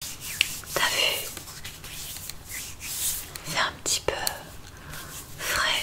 T'as vu C'est un petit peu frais.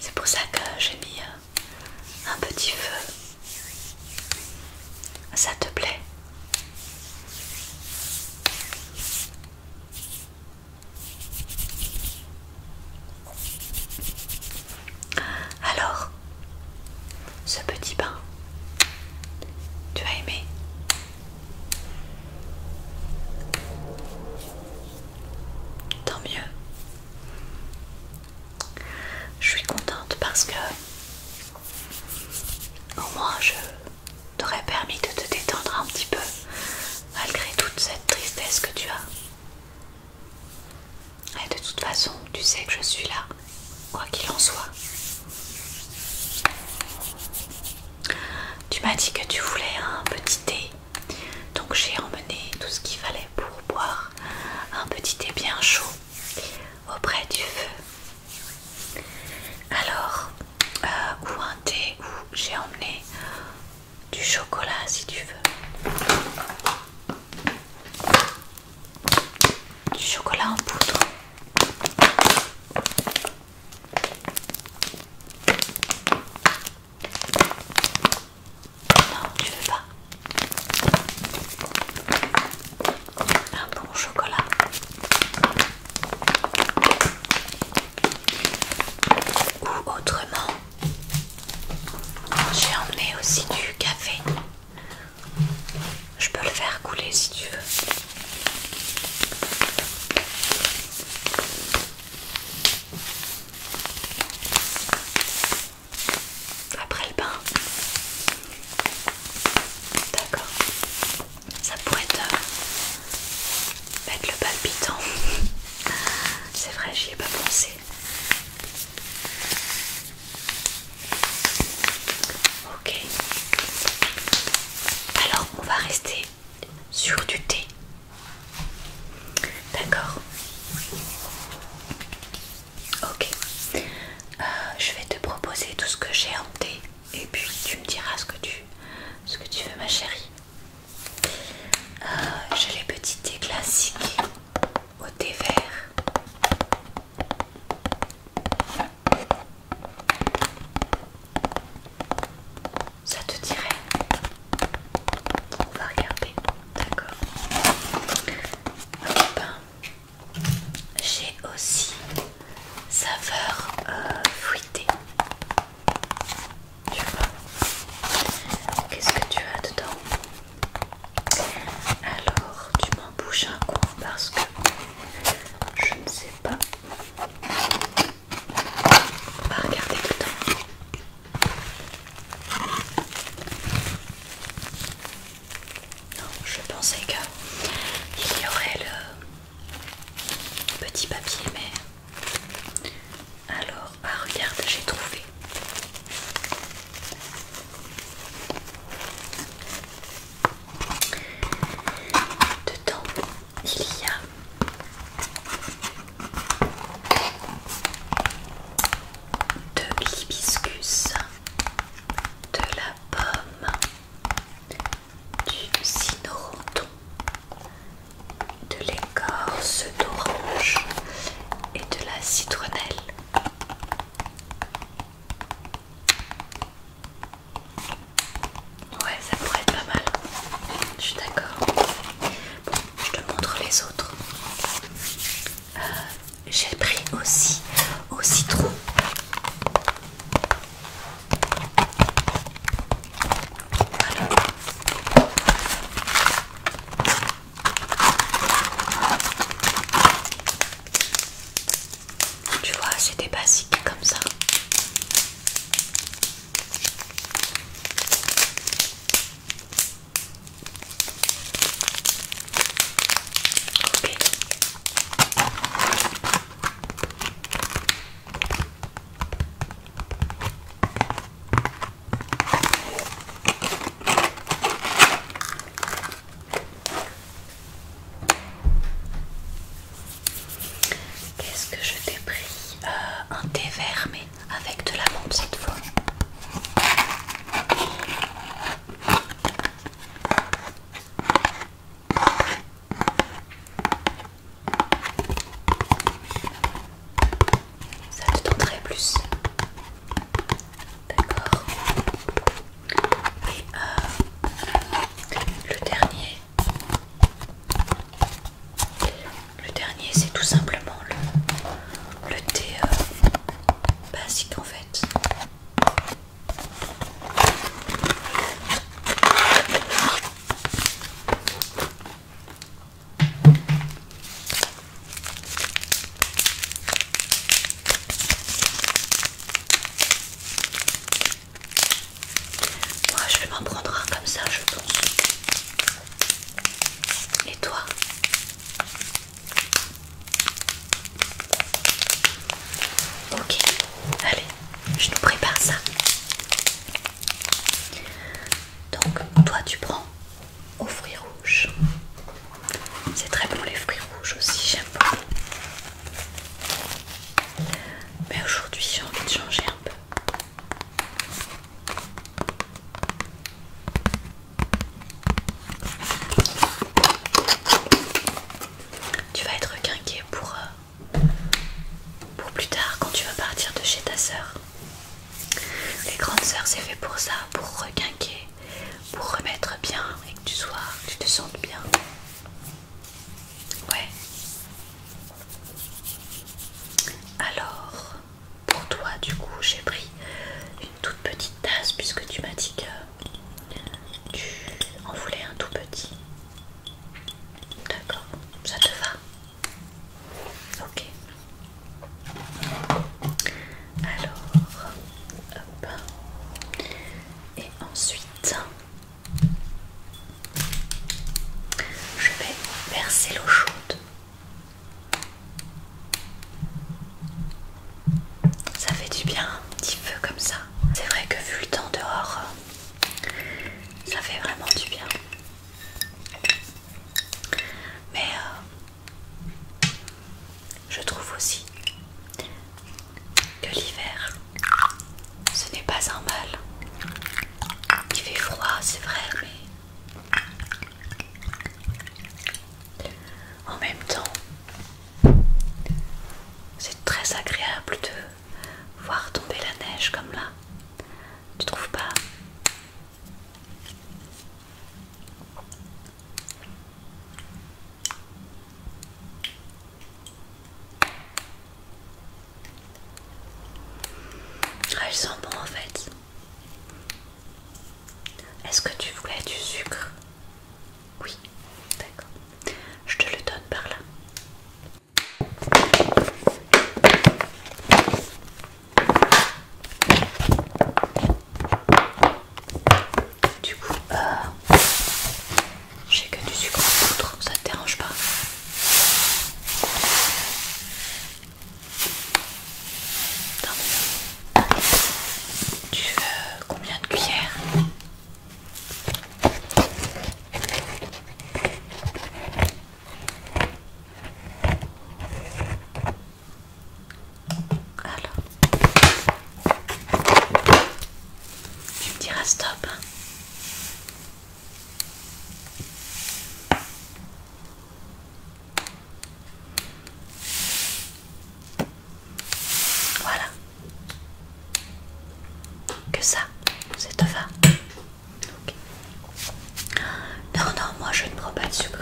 C'est pour ça que j'ai mis euh, un petit feu. Ça te plaît Alors, ce petit bain. Tu as aimé Tant mieux. Je suis contente parce que au moins je t'aurais permis de te détendre un petit peu malgré toute cette tristesse que tu as. Et de toute façon, tu sais que je suis là quoi qu'il en soit. Tu m'as dit que tu voulais un petit thé, donc j'ai emmené tout ce qu'il fallait pour boire un petit thé bien chaud auprès du feu. Alors, euh, ou un thé, ou j'ai emmené du chocolat si tu veux du chocolat en poudre. Non, tu veux pas. Un bon chocolat. Ou autrement, j'ai emmené aussi du café. Je peux le faire couler si tu veux. Après le bain. D'accord. Ça pourrait te mettre le palpitant. C'est vrai, j'y ai pas pensé. Ok. Alors, on va rester sur du thé. D'accord. Ok. Euh, je vais te proposer tout ce que j'ai en thé et puis tu me diras ce que tu, veux ma chérie. Euh, j'ai les petits thés classiques au thé vert. Ça te dirait On va regarder, d'accord. Ben, j'ai aussi saveur fruité euh, fruitée. Tu vois Qu'est-ce que tu as dedans Alors, tu bouger un cours parce que je ne sais pas. On va regarder temps. Non, je pensais qu'il y aurait le petit papier, mais alors, ah regarde, j'ai trouvé. Dedans, il y a de l'hibiscus, de la pomme, du de l'écorce d'orange et de la citronnelle. Ouais, ça pourrait être pas mal. Je suis d'accord. Bon, je te montre les autres. Euh, j'ai pris aussi au citron. Tu vois, c'est des basiques comme ça. Qu'est-ce que je t'ai pris euh, Un thé vert mais avec de la menthe cette fois. Ça te tenterait plus D'accord. Et euh, le dernier, le dernier, c'est tout simplement le, thé euh, basique en fait. Moi je vais m'en prendre un comme ça je pense. Et toi Ok, allez, je nous prépare ça. Donc toi tu prends aux fruits rouges. C'est très bon les fruits rouges aussi, j'aime beaucoup. Mais aujourd'hui j'ai envie de changer un peu. Tu vas être requinqué pour, euh, pour plus tard quand tu vas partir de chez ta sœur. Les grandes sœurs c'est fait pour ça, pour requinquer pour remettre bien et que tu sois, que tu te sentes bien. Ouais. Alors, pour toi, du coup, j'ai pris une toute petite tasse puisque tu m'as dit que tu en voulais un tout petit. D'accord, ça te va Ok. Alors, hop. Et ensuite, je vais verser l'eau chaude. Ça fait du bien, un petit peu comme ça. C'est vrai que vu le temps dehors, ça fait vraiment du bien. Mais euh, je trouve aussi que l'hiver, ce n'est pas un mal. Il fait froid, c'est vrai, mais en même temps, c'est très agréable de voir tomber la neige comme là. Tu trouves pas elle ah, sent bon en fait. Est-ce que tu voulais du sucre Oui, d'accord. Je te le donne par là. Du coup, euh, j'ai que du sucre en poudre, ça te dérange pas Tu veux combien de cuillères alors, tu me diras stop. Hein. voilà. Que ça, ça te va. Non, non, moi je ne prends pas de sucre.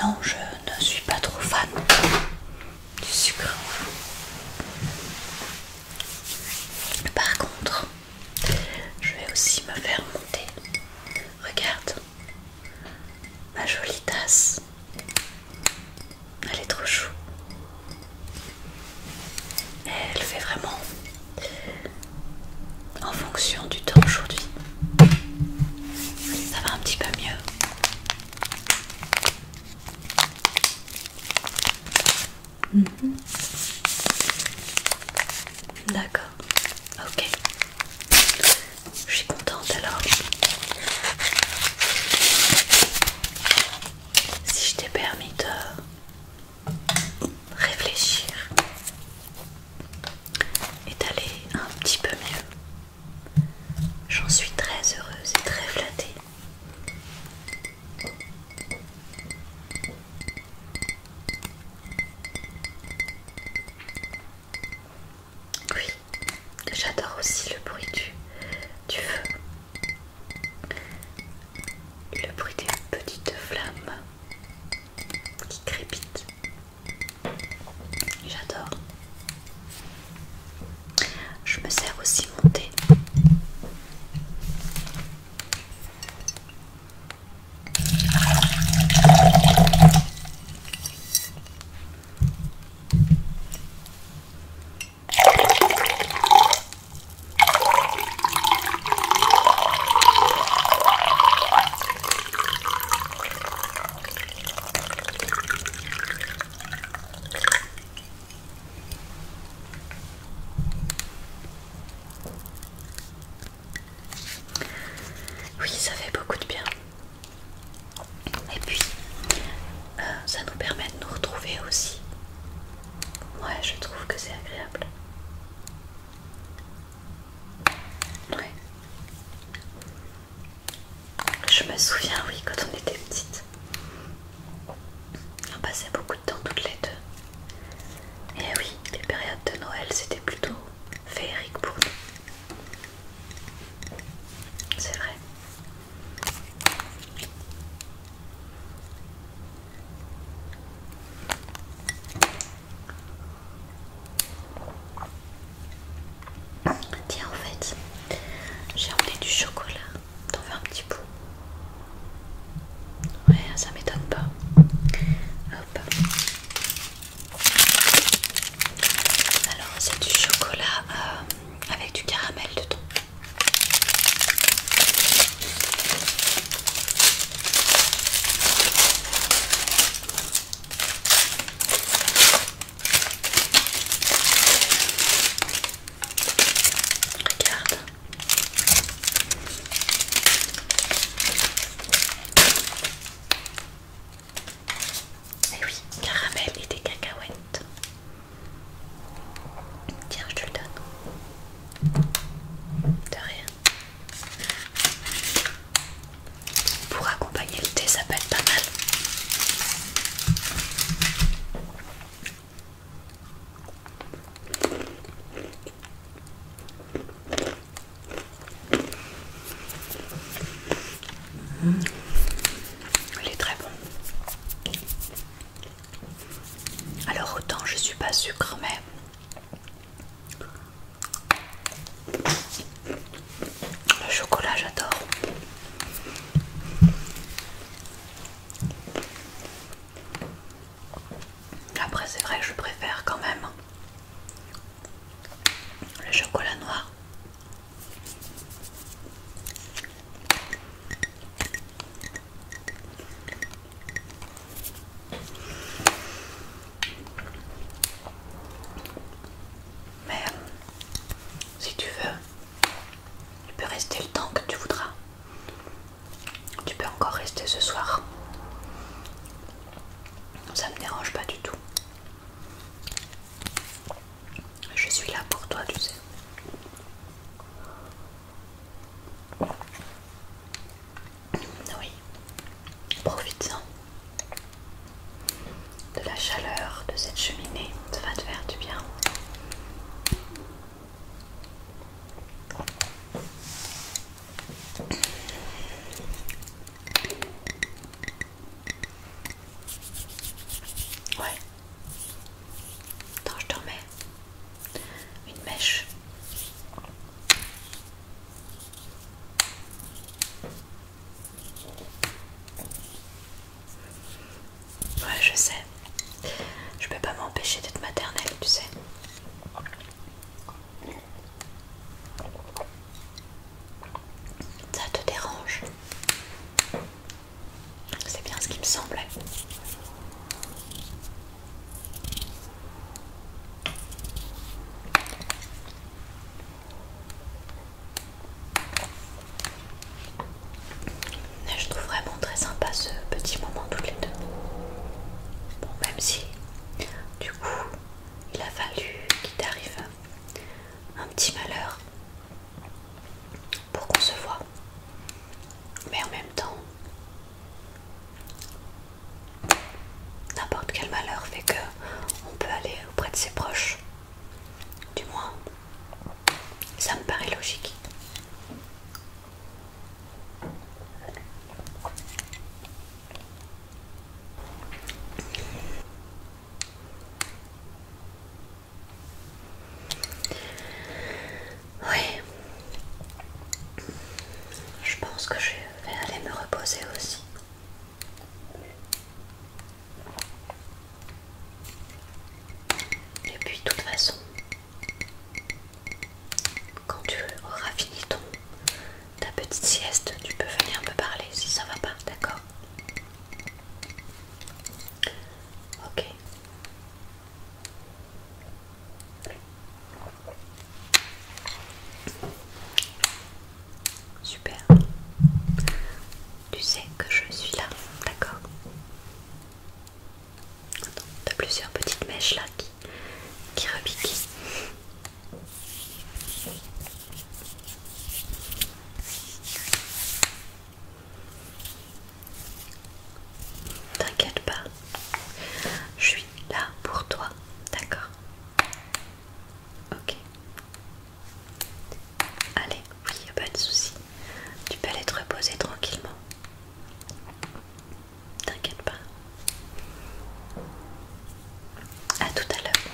Non, je ne suis pas trop fan du sucre. Par contre, je vais aussi me faire monter. Regarde ma jolie tasse elle est trop chou. elle fait vraiment en fonction du temps aujourd'hui. Ça va un petit peu mieux. Mhm. D'accord. Ok. Je suis contente alors si je t'ai permis de réfléchir et d'aller un petit peu mieux. J'en suis très heureuse et très flattée. Oui, j'adore aussi le bruit du, feu le bruit des petites flammes qui crépitent. J'adore. Je me sers aussi mon thé. Oui, ça fait beaucoup de bien. Et puis, euh, ça nous permet de nous retrouver aussi. Ouais, je trouve que c'est agréable. Ouais. Je me souviens, oui, quand on était petites. on passait beaucoup de temps toutes les deux. Et oui, les périodes de Noël, c'était plutôt féerique pour nous. C'est vrai. Tiens, en fait, j'ai emmené du chocolat. T'en veux un petit bout Ouais, ça m'étonne pas. Alors, c'est du chocolat euh, avec du caramel dedans. Regarde. Eh oui, caramel et des cacahuètes. Tiens, je te le donne. De rien. Pour accompagner le thé, ça peut être pas mal. Il est très bon. Alors autant je suis pas sucre mais le chocolat j'adore. Après c'est vrai que je préfère quand même le chocolat noir mais si tu veux, tu peux rester le temps que tu voudras. Tu peux encore rester ce soir. Ça me dérange pas du tout. Je suis là pour toi, tu sais. Oui, profite-en de la chaleur de cette cheminée, ça va te faire du bien. Ouais, Attends, je te une mèche. Ouais, je sais. Je peux pas m'empêcher d'être maternelle, tu sais. Ça te dérange c'est bien ce qui me semblait. je trouve vraiment très sympa ce petit moment toutes les deux. Bon, même si, du coup, il a fallu qu'il t'arrive un petit malheur pour qu'on se voit. Mais en même temps, n'importe quel malheur fait que on peut aller auprès de ses proches. Du moins, ça me paraît logique. Oui. Je pense que je vais aller me reposer aussi. Et puis, de toute façon, quand tu auras fini ton ta petite sieste, tu peux venir me parler si ça va pas, d'accord Ok. Super. Tu sais que je suis là, d'accord T'as plusieurs petites mèches là qui, qui T'inquiète pas, je suis là pour toi, d'accord Ok. Allez, oui, y'a pas de souci. Tu peux aller te reposer tranquillement. T'inquiète pas. À tout à l'heure.